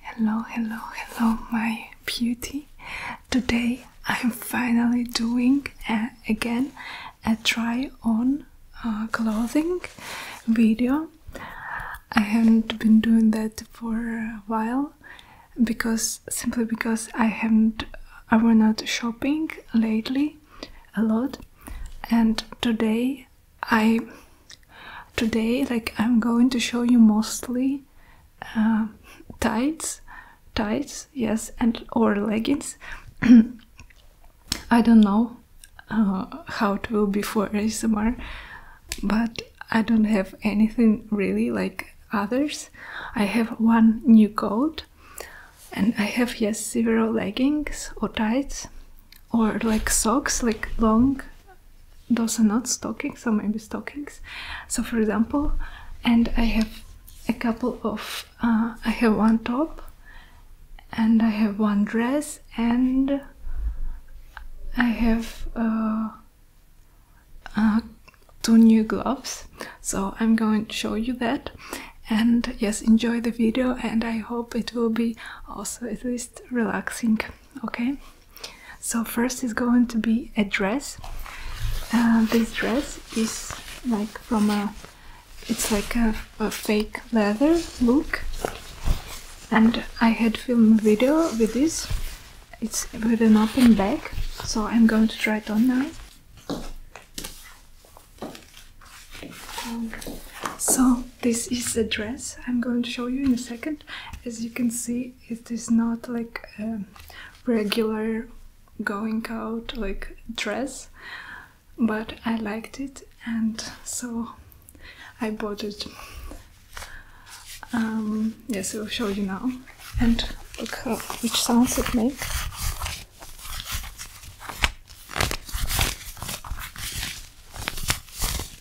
Hello, hello, hello, my beauty. Today I'm finally doing uh, again a try on uh, clothing video. I haven't been doing that for a while because simply because I haven't I were not shopping lately a lot and today I today like i'm going to show you mostly uh, tights tights yes and or leggings i don't know uh, how it will be for asmr but i don't have anything really like others i have one new coat and i have yes several leggings or tights or like socks like long those are not stockings so maybe stockings so for example and i have a couple of uh, i have one top and i have one dress and i have uh, uh, two new gloves so i'm going to show you that and yes enjoy the video and i hope it will be also at least relaxing okay so first is going to be a dress uh, this dress is like from a it's like a, fake leather look and I had filmed video with this it's with an open back so I'm going to try it on now so this is the dress I'm going to show you in a second as you can see it is not like a regular going out like dress but I liked it and so I bought it um, yes I'll show you now and look how, which sounds it makes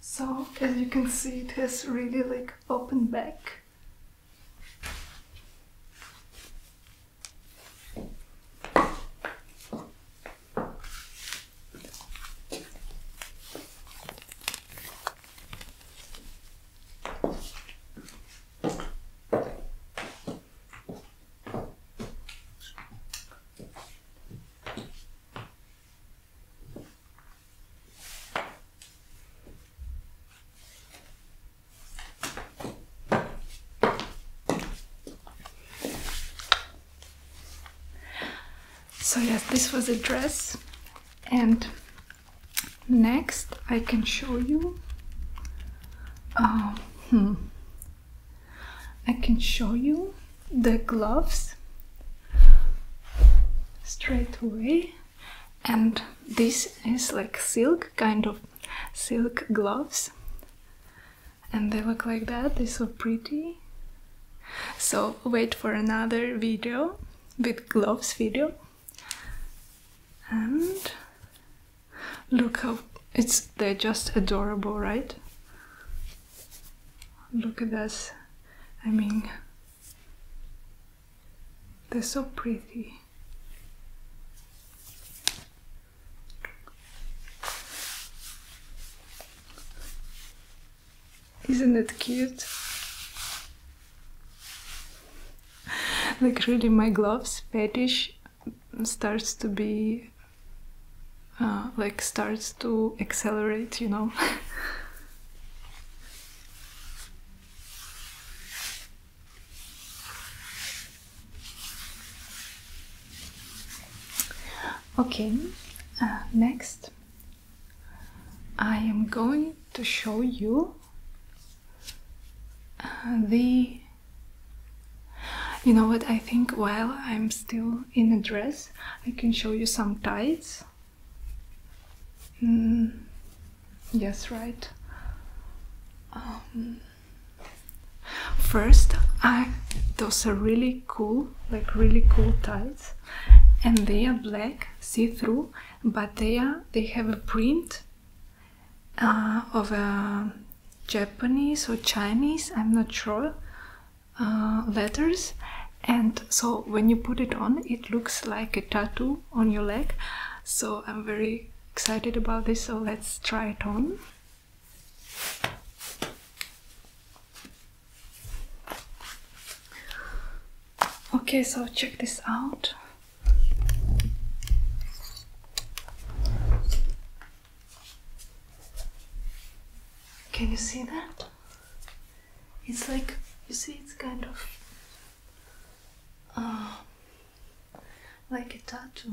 So as you can see it has really like open back. So yes, this was a dress and next I can show you um, I can show you the gloves straight away, and this is like silk kind of silk gloves, and they look like that. They're so pretty. So, wait for another video with gloves video and look how it's they're just adorable, right? Look at this. I mean, they're so pretty. Isn't it cute? like really my gloves fetish starts to be uh, like starts to accelerate, you know. okay, uh, next I am going to show you uh, the you know what I think while I'm still in a dress I can show you some ties mm, yes right um, first I those are really cool like really cool ties and they are black see-through but they are they have a print uh, of a uh, Japanese or Chinese, I'm not sure, uh, letters. And so when you put it on, it looks like a tattoo on your leg. So I'm very excited about this, so let's try it on. Okay, so check this out. Can you see that? It's like, you see, it's kind of uh, like a tattoo.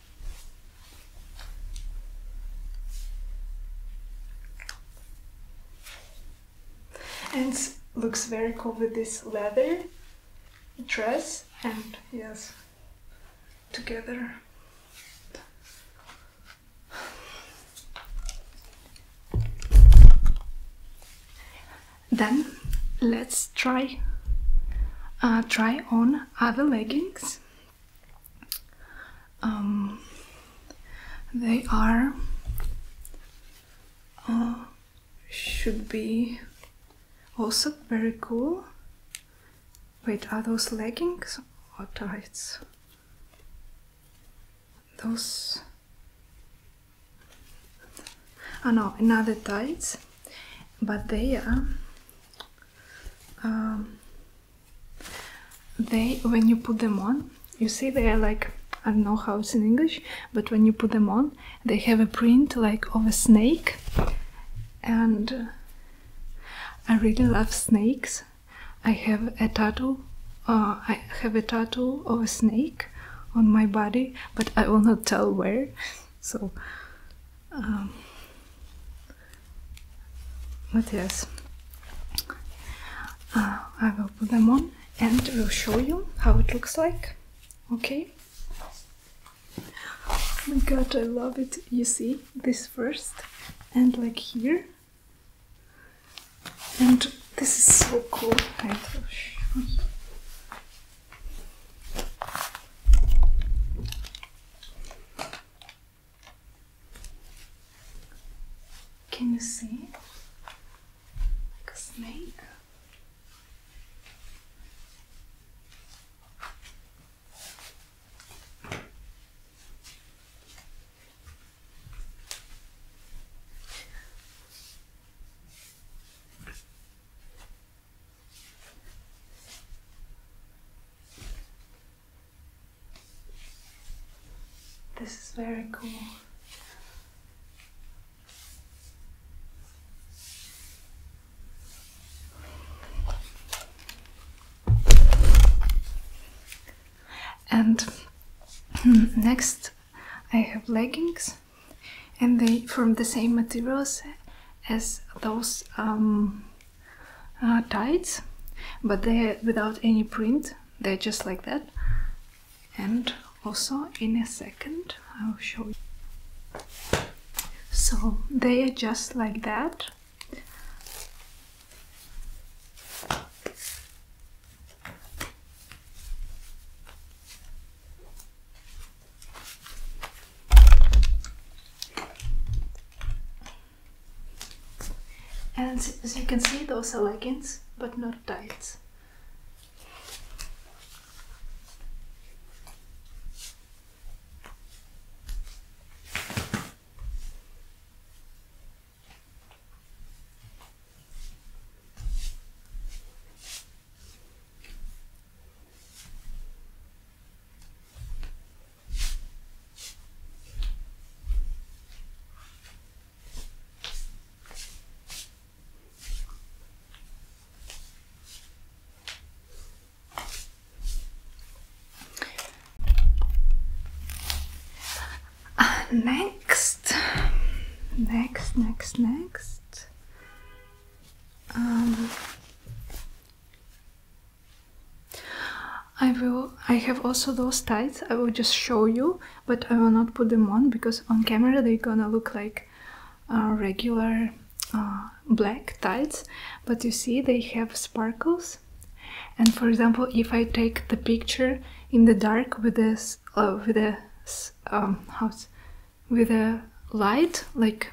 And looks very cool with this leather dress and yes, together. Then let's try uh, try on other leggings. Um, they are uh, should be also very cool. Wait, are those leggings or tights? Those. Oh no, another tights, but they are um, they, when you put them on, you see they are like, I don't know how it's in English, but when you put them on, they have a print like of a snake. And uh, I really love snakes. I have a tattoo. Uh, I have a tattoo of a snake on my body, but I will not tell where. So um, materials. Uh, I will put them on and will show you how it looks like. Okay. Oh my god, I love it. You see this first and like here. And this is so cool. Can you see? a snake? This is very cool. And hmm, next I have leggings and they from the same materials as those um, uh, tights, but they're without any print, they're just like that. And also, in a second, I'll show you. So, they are just like that. And as you can see, those are leggings, but not tights next, next, next, next. Um, I will I have also those tights I will just show you but I will not put them on because on camera they're gonna look like uh, regular uh, black tights but you see they have sparkles and for example if I take the picture in the dark with this uh, with this um, house with a light like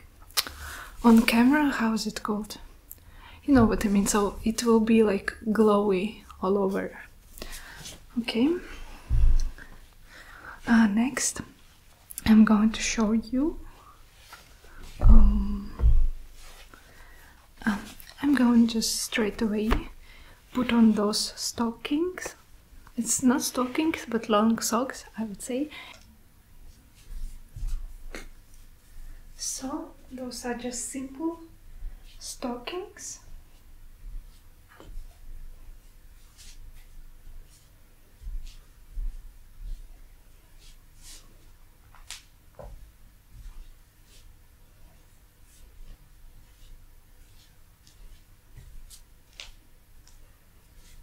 on camera how is it called you know what i mean so it will be like glowy all over okay uh, next i'm going to show you um, uh, i'm going just straight away put on those stockings it's not stockings but long socks i would say So those are just simple stockings.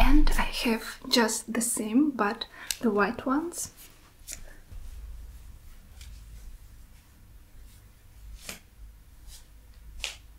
And I have just the same, but the white ones.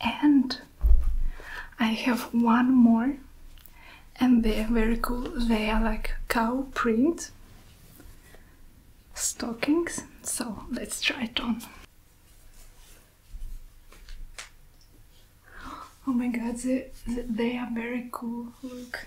And I have one more, and they're very cool. They are like cow print stockings, so let's try it on. Oh my god, they, they are very cool. Look.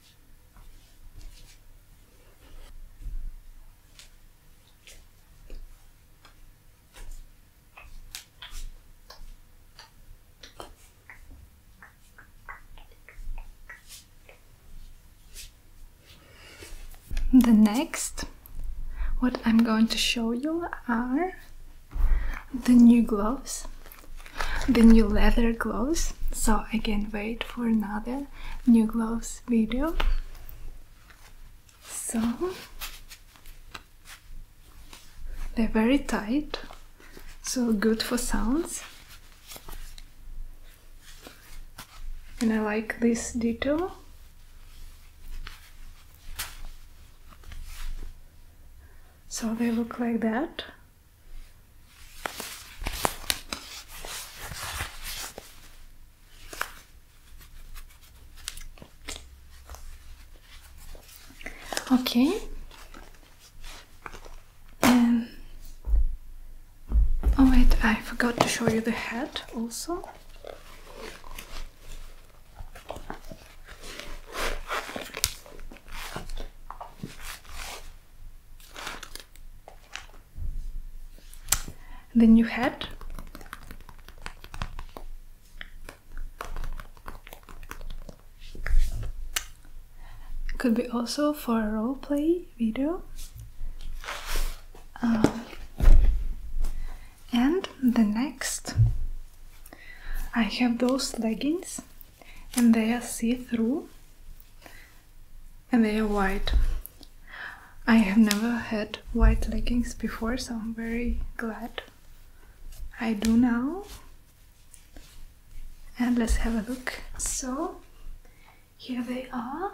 The next, what I'm going to show you are the new gloves, the new leather gloves. So again, wait for another new gloves video. So they're very tight, so good for sounds. And I like this detail. So they look like that. Okay. Um, oh wait, I forgot to show you the head also the new head could be also for a role play video um, and the next I have those leggings and they are see-through and they are white. I have never had white leggings before, so I'm very glad I do now. And let's have a look. So, here they are.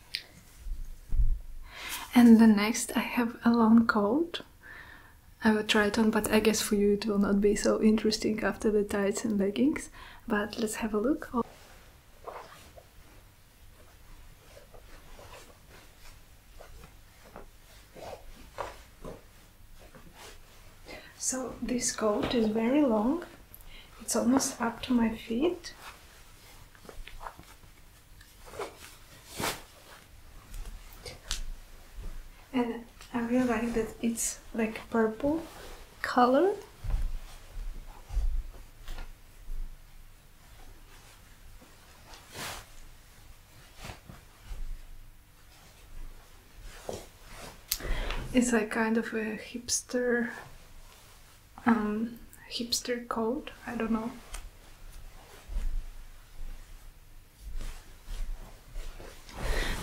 And the next I have a long coat. I will try it on, but I guess for you it will not be so interesting after the tights and leggings. But let's have a look. Oh. So this coat is very long, it's almost up to my feet and I realize that it's like purple color. It's like kind of a hipster um, hipster coat, I don't know.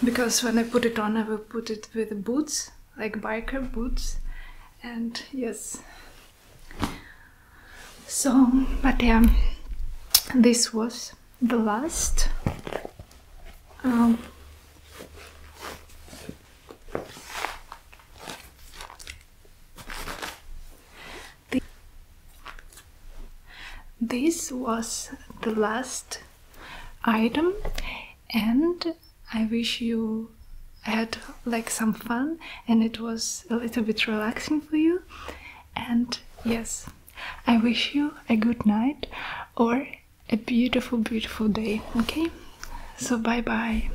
Because when I put it on, I will put it with boots, like biker boots, and yes. So, but yeah, this was the last. Um, this was the last item, and I wish you had like some fun and it was a little bit relaxing for you. And yes, I wish you a good night or a beautiful, beautiful day. Okay, so bye bye.